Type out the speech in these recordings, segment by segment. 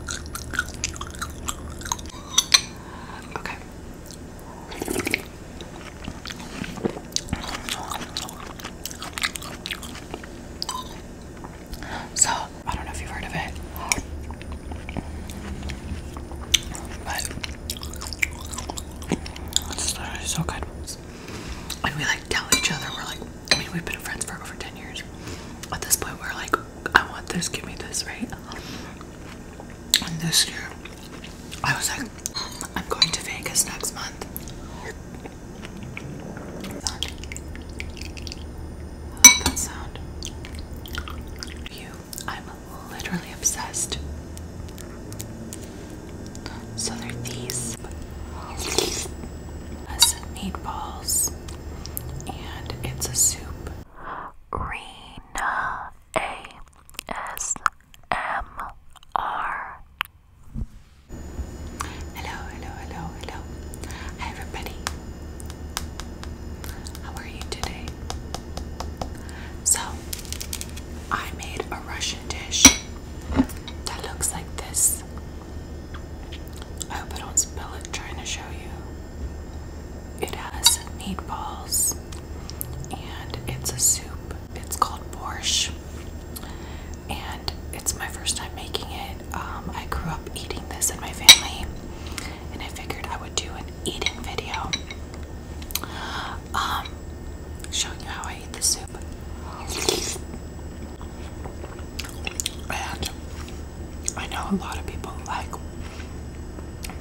Okay. So, I don't know if you've heard of it, but it's so good. And we like tell each other, we're like, I mean, we've been friends for over 10 years. At this point, we're like, I want this, give me this, right? And this year, I was like, mm, I'm going to Vegas next month. I love that sound. You, I'm literally obsessed. So they're these. Meatballs and it's a soup. Rena A S M R. Hello, hello, hello, hello. Hi, everybody. How are you today? So, I made a Russian dish that looks like this. I hope I don't spill it trying to show you. It has meatballs and it's a soup. It's called borscht and it's my first time making it. Um, I grew up eating this in my family and I figured I would do an eating video um, showing you how I eat the soup. And I know a lot of people like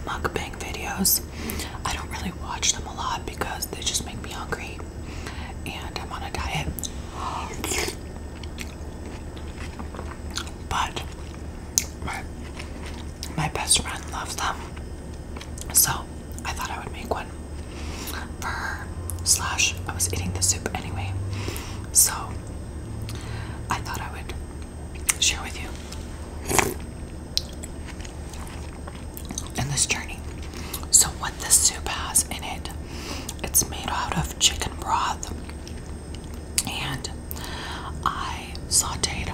mukbang videos. I don't really watch them a lot because they just make me hungry and I'm on a diet. But my, my best friend loves them. So I thought I would make one for her. Slash, I was eating the soup anyway. So I thought I would share with you in this journey. So, what this soup has in it, it's made out of chicken broth, and I sauteed.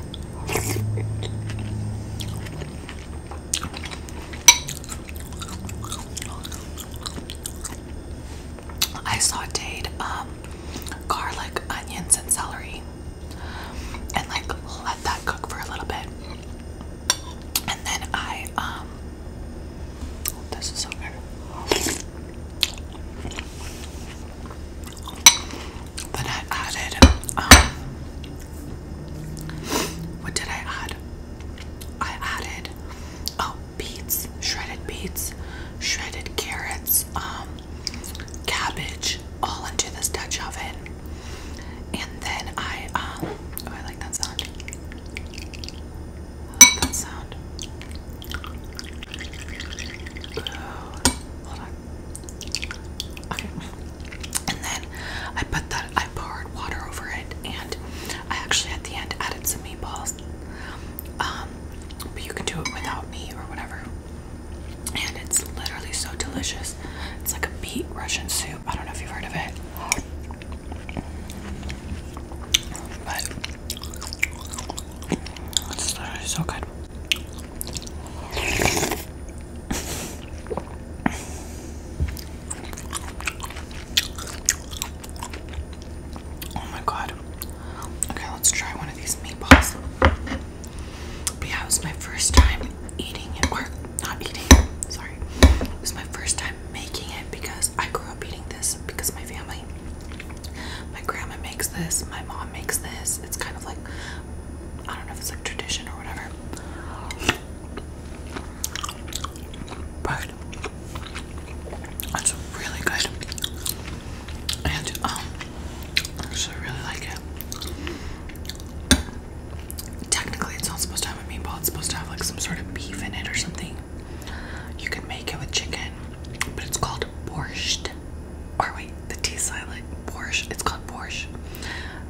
I sauteed um, garlic, onions, and celery, and like let that cook for a little bit. And then I, um, oh, this is so good. Then I added, um, what did I add? I added, oh, beets, shredded beets, shredded carrots, um, cabbage, all into this Dutch oven. And then I, um, oh, I like that sound. I that sound. Oh, hold on. Okay. And then I put that, I poured water over it and I actually at the end added some meatballs. Um, but you can do it without meat or whatever. And it's literally so delicious. It's like a beet Russian soup. I don't know if you've heard of it. But it's literally so good. Oh my god. Okay, let's try one of these meatballs. But yeah, it was my first time eating it, or not eating it, sorry. It was my first time making it because I grew up eating this because my family, my grandma makes this, my mom makes this. It's kind of like, I don't know if it's like tradition or whatever. But it's really good. And um, I actually really like it. Technically it's not supposed to have a meatball, it's supposed to have like some sort of beef in it or something. You can make it with chicken, but it's called borscht. Or wait, the T silent borscht. It's called borscht.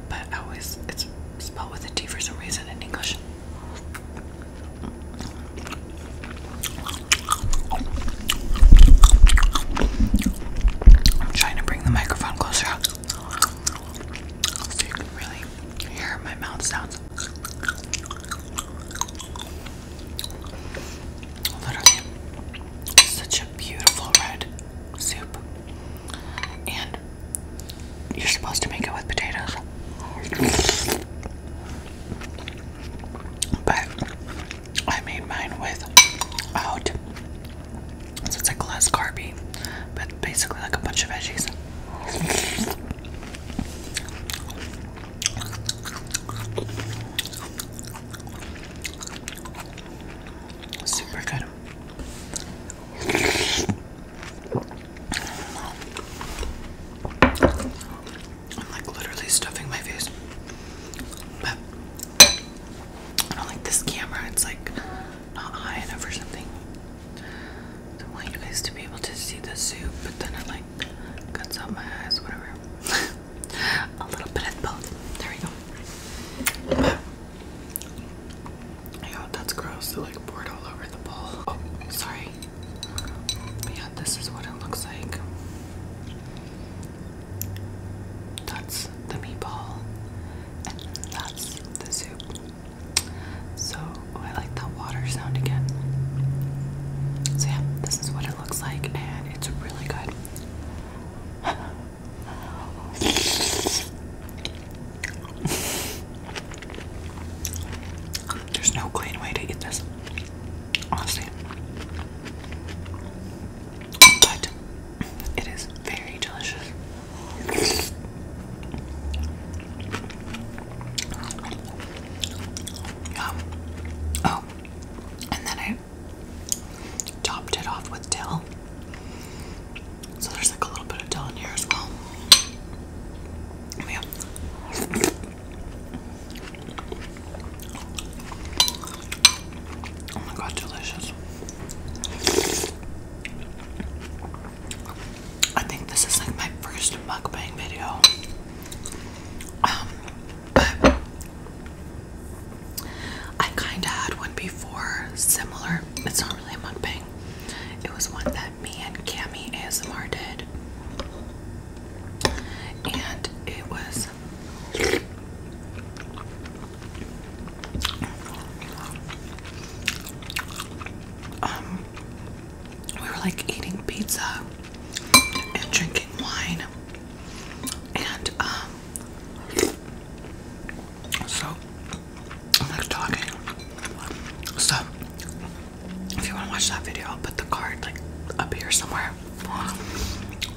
But always it's spelled with a T for some reason in English. I'm trying to bring the microphone closer so you can really hear my mouth sounds. Literally, such a beautiful red soup. And you're supposed to make it with potatoes. But I made mine without, so it's like less carby, but basically like a bunch of veggies. Super good. I'm like literally stuffing my face. But I don't like this camera, it's like not high enough or something. I want you guys to be able to see the soup, but then it like cuts out my eyes, whatever. A little bit of both. There we go. Yeah, that's gross. They like poured all over the bowl. Oh, sorry. But yeah, this is what it looks like. That's the meatball, and that's the soup. So, oh, I like the water sound again. So, yeah, this is what it looks like, and it's really good. There's no clean way to eat this, honestly. But it is very delicious. Yum. Oh, and then I topped it off with dill. So there's like a little bit of dill in here as well. Oh my god, delicious. I think this is like my first mukbang video. Um, but I kind of had one before, similar. It's not really a mukbang. It was one that me and Cami ASMR did. And it was um we were like eating pizza and drinking wine and um so I'm like talking. So if you want to watch that video, I'll put the card like up here somewhere.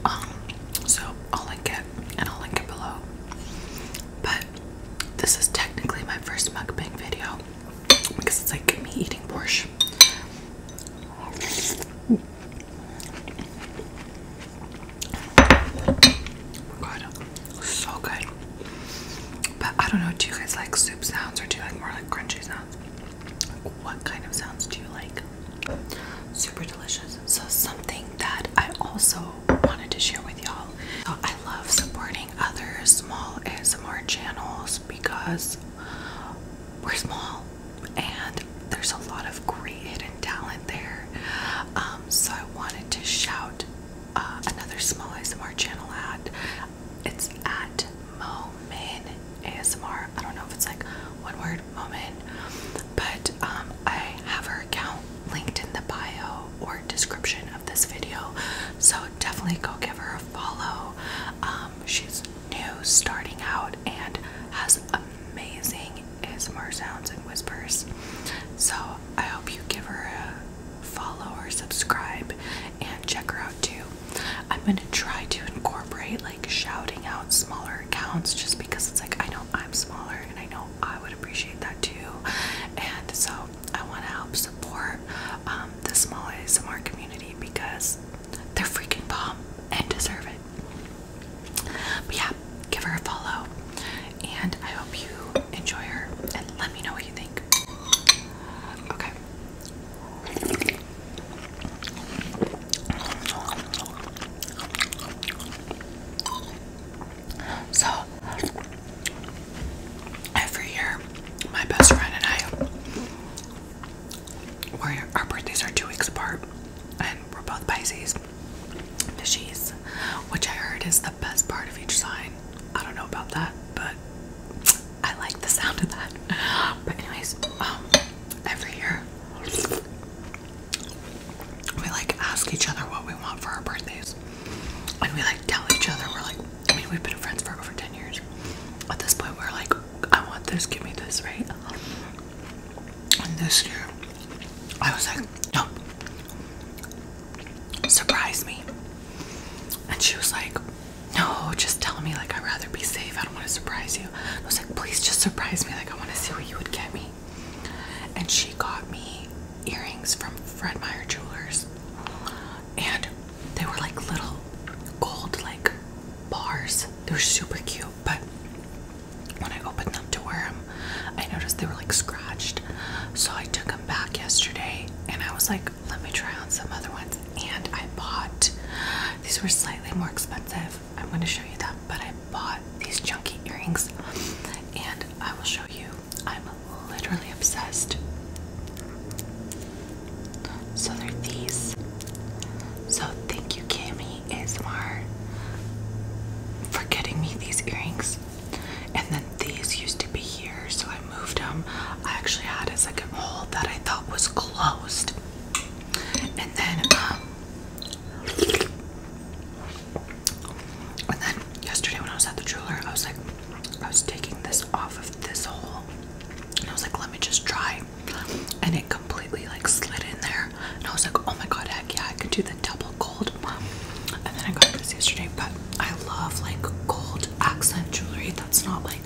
Um, so I'll link it and I'll link it below. But this is technically my first mukbang video because it's like me eating borscht so good. But I don't know, do you guys like soup sounds or do you like more like crunchy sounds? What kind of sounds do you like? Super delicious. So something that I also wanted to share with y'all. I love supporting other small ASMR channels because we're small and there's a lot of great hidden talent there. Um, so I wanted to shout um, another small ASMR channel at. It's at Momin ASMR. I don't know if it's like one word, Moment, but um, I have her account linked in the bio or description of this video. So definitely go give her a follow. Um, she's new, starting out, and has amazing is more sounds and whispers. So I hope you give her a follow or subscribe and check her out too. I'm gonna try to incorporate like shouting out smaller accounts just because it's like I know I'm smaller and I know I would appreciate that too. And so I want to help support um, the small ASMR community because they're freaking bomb and deserve it. But yeah, give her a follow. And I hope you enjoy her and let me know what you think. Okay. So, every year, my best friend and I, our birthdays are two weeks apart, and we're both Pisces. She's, which I heard is the best part of each sign. I don't know about that, but I like the sound of that. But anyways, um, every year we like ask each other what we want for our birthdays, and we like tell each other. We're like, I mean, we've been friends for over ten years. At this point, we're like, I want this, give me this, right? And this year, I was like, no. Surprise me. And she was like, no, just tell me. Like, I'd rather be safe. I don't want to surprise you. I was like, please just surprise me. Like, I want to see what you would get me. And she got me earrings from Fred Meyer Jewelers. And they were like little gold, like bars. They were super cute, but when I opened them to wear them, I noticed they were like scratched. So I took them back yesterday and I was like, let me try on some other ones. And I bought these were slightly more expensive. I'm going to show you that, but I bought these chunky earrings and I will show you. I'm literally obsessed. So they're these. So thank you, Cami. Annie ASMR for getting me these earrings. And then these used to be here, so I moved them. I actually had a second hole that I thought was closed. And then, um, and then yesterday when I was at the jeweler, I was like, I was taking this off of this hole, and I was like, let me just try, and it completely like slid in there and I was like, oh my god, heck yeah, I could do the double gold. And then I got this yesterday, but I love like gold accent jewelry that's not like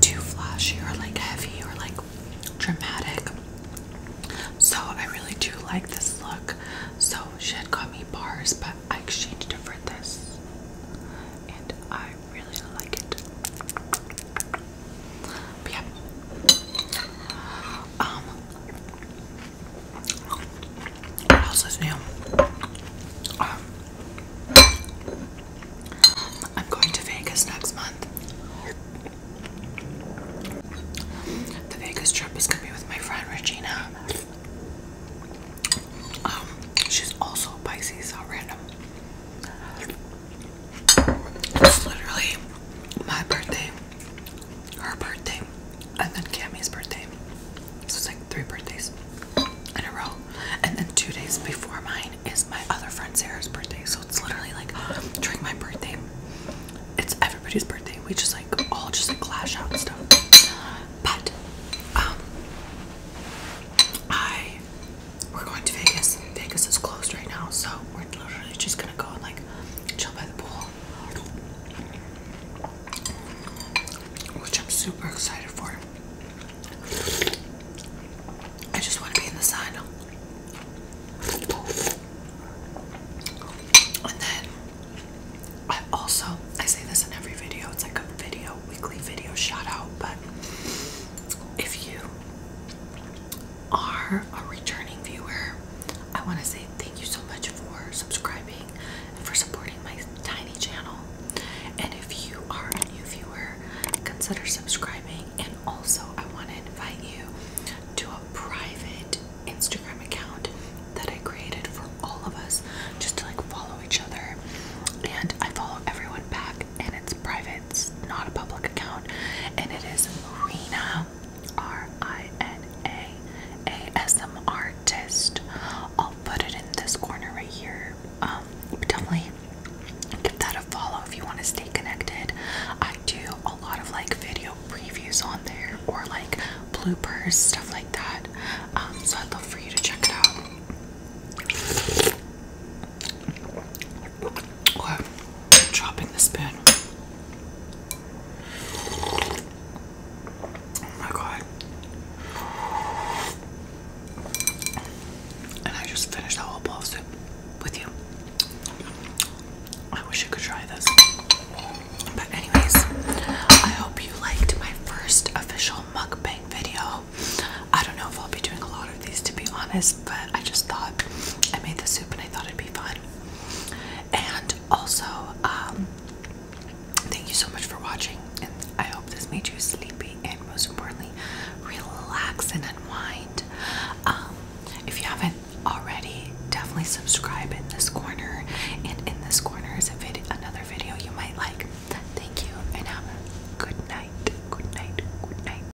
too flashy or like heavy or like dramatic. So I really do like this look. So she had got me bars, but I exchanged it for this. And I really like it. yeah. Um, what else is new? Um, I'm going to Vegas next month. The Vegas trip is gonna be with my friend Regina. Um, she's also Pisces, how random. It's literally my birthday her birthday, and then Cammy's birthday. So it's like three birthdays in a row. And then two days before mine is my other friend Sarah's birthday. So it's literally like during my birthday, it's everybody's birthday. We just like all just like clash out and stuff. But um I we're going to Vegas. Vegas is closed right now, so we're literally just gonna go and like chill by the pool, which I'm super excited for. I just want to be in the sun. And then I also I say this in every video. It's like a video weekly video shout out, but if you are a returning viewer, I want to say thank you so much for subscribing and for supporting my tiny channel. And if you are a new viewer, consider subscribing. And also, I want to invite you to a private Instagram account that I created for all of us just to like follow each other. And I follow everyone back, and it's private it's not a public account, and it is Marina R I N A artist. I'll put it in this corner right here. Um, definitely give that a follow if you want to stay connected. I do a lot of like video previews on there or like bloopers, stuff like that. Um, so I'd love for you to check it out. I'm dropping the spoon. Oh my god. And I just finished the whole bowl of soup with you. I wish you could try this. But anyways, I hope you liked my first official mukbang video. I don't know if I'll be doing a lot of these to be honest, but I just thought I made the soup and I thought it'd be fun. And also, um, thank you so much for watching. And I hope this made you sleepy and most importantly, relax and unwind. Um, if you haven't already, definitely subscribe in this corner. And in this corner is a vid another video you might like. Thank you and have a good night. Good night. Good night.